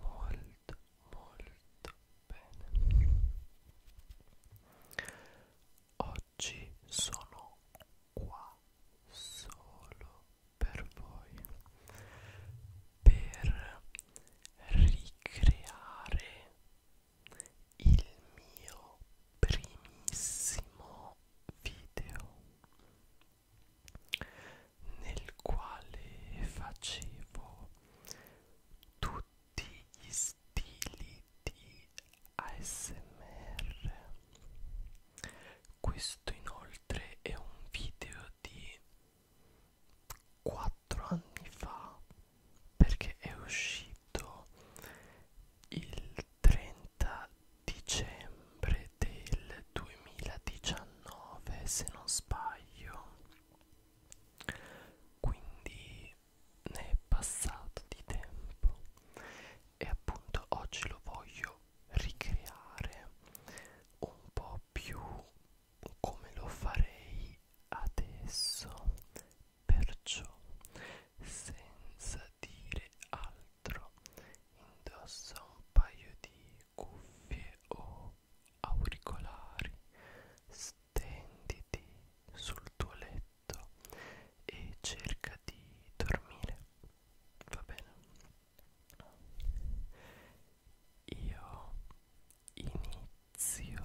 molto molto bene oggi sono qua solo per voi per ricreare il mio primissimo video nel quale facevo tutti gli stili di ASMR. Questo inoltre è un video di 4 anni fa perché è uscito il 30 dicembre del 2019 se non sbaglio quindi ne è passato di tempo e appunto oggi lo voglio ricreare un po' più come lo farei adesso perciò senza dire altro indossa un paio di cuffie o auricolari, stenditi sul tuo letto e cerca di dormire. Va bene? Io inizio.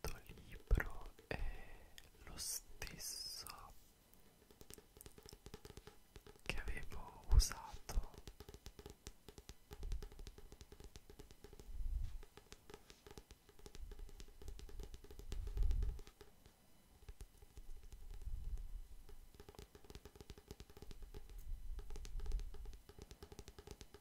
questo libro è lo stesso che avevo usato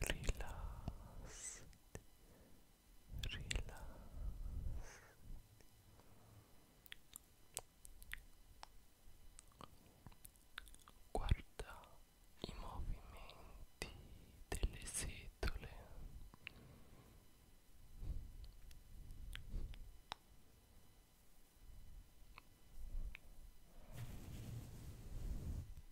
rilassati, rilassati. Guarda i movimenti delle setole.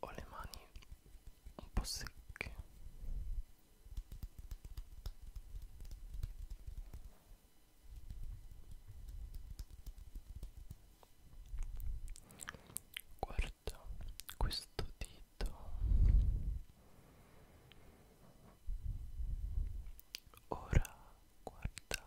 ho le mani un po' secche guarda questo dito ora guarda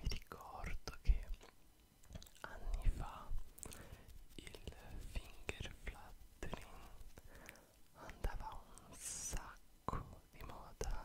Mi ricordo che anni fa il finger flattering andava un sacco di moda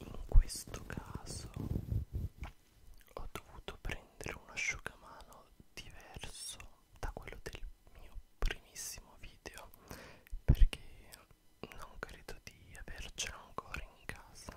In questo caso ho dovuto prendere un asciugamano diverso da quello del mio primissimo video perché non credo di avercela ancora in casa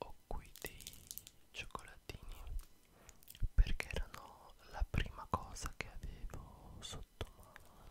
ho qui dei cioccolatini perché erano la prima cosa che avevo sotto mano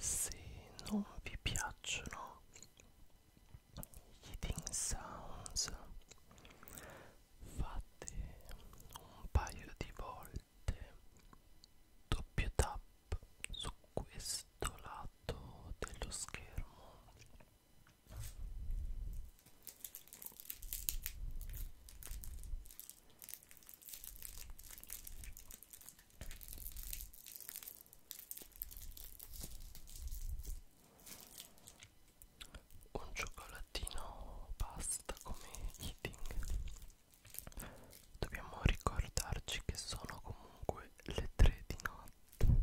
Se non vi piacciono eating sounds fate un paio di volte doppio tap su questo lato dello schermo un cioccolatino basta come eating dobbiamo ricordarci che sono comunque le 3 di notte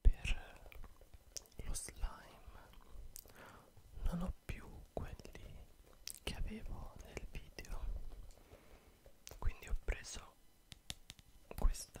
Per lo slime non ho più quelli che avevo nel video, quindi ho preso questa.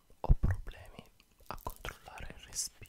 ho problemi a controllare il respiro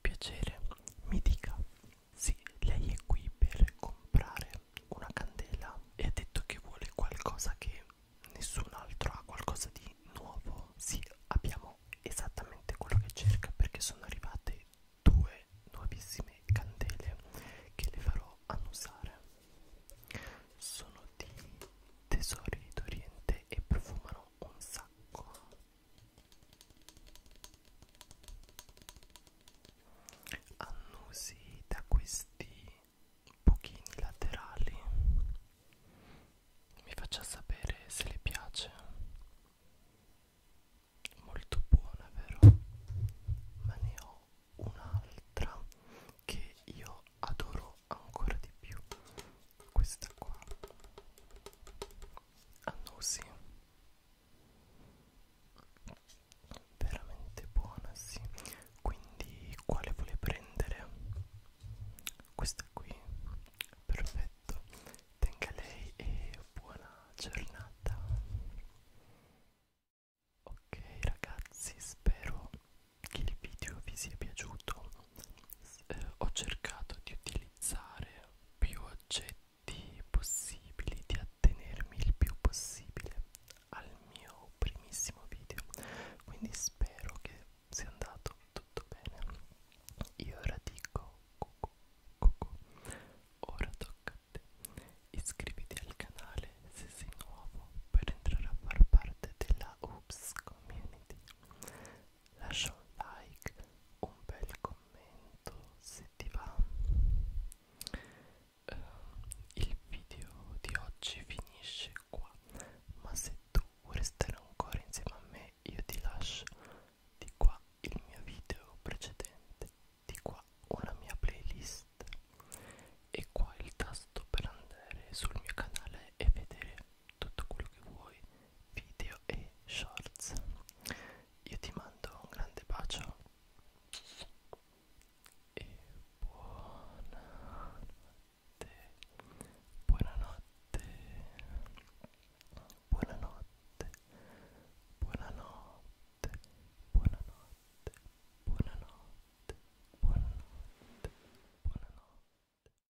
Piacere, mi dica. Sì, lei è qui per comprare una candela e ha detto che vuole qualcosa che nessun altro ha, qualcosa di nuovo. Sì, abbiamo esattamente quello che cerca perché sono arrivate due nuovissime candele che le farò annusare. Sono di tesori d'Oriente e profumano un sacco annusi da questi buchini laterali mi faccia sapere se le piace molto buona vero ma ne ho un'altra che io adoro ancora di più questa qua annusi ah, veramente buona sì quindi quale vuole prendere questa qui perfetto tenga lei e buona giornata ok ragazzi spero che il video vi sia piaciuto eh, ho cercato di utilizzare più oggetti possibili, di attenermi il più possibile al mio primissimo video, quindi spero che sia andato tutto bene. Io ora dico cucù, cucù. ora tocca a te. Iscriviti al canale se sei nuovo per entrare a far parte della Oops Community lascia un like, un bel commento se ti va. Uh, il video di oggi finisce qua, ma se tu vuoi restare ancora insieme a me io ti lascio di qua il mio video precedente, di qua una mia playlist e qua il tasto per andare sul mio canale e vedere tutto quello che vuoi, video e shorts. Io ti mando un grande bacio e buonanotte, buonanotte, buonanotte, buonanotte, buonanotte, buonanotte, buonanotte, buonanotte.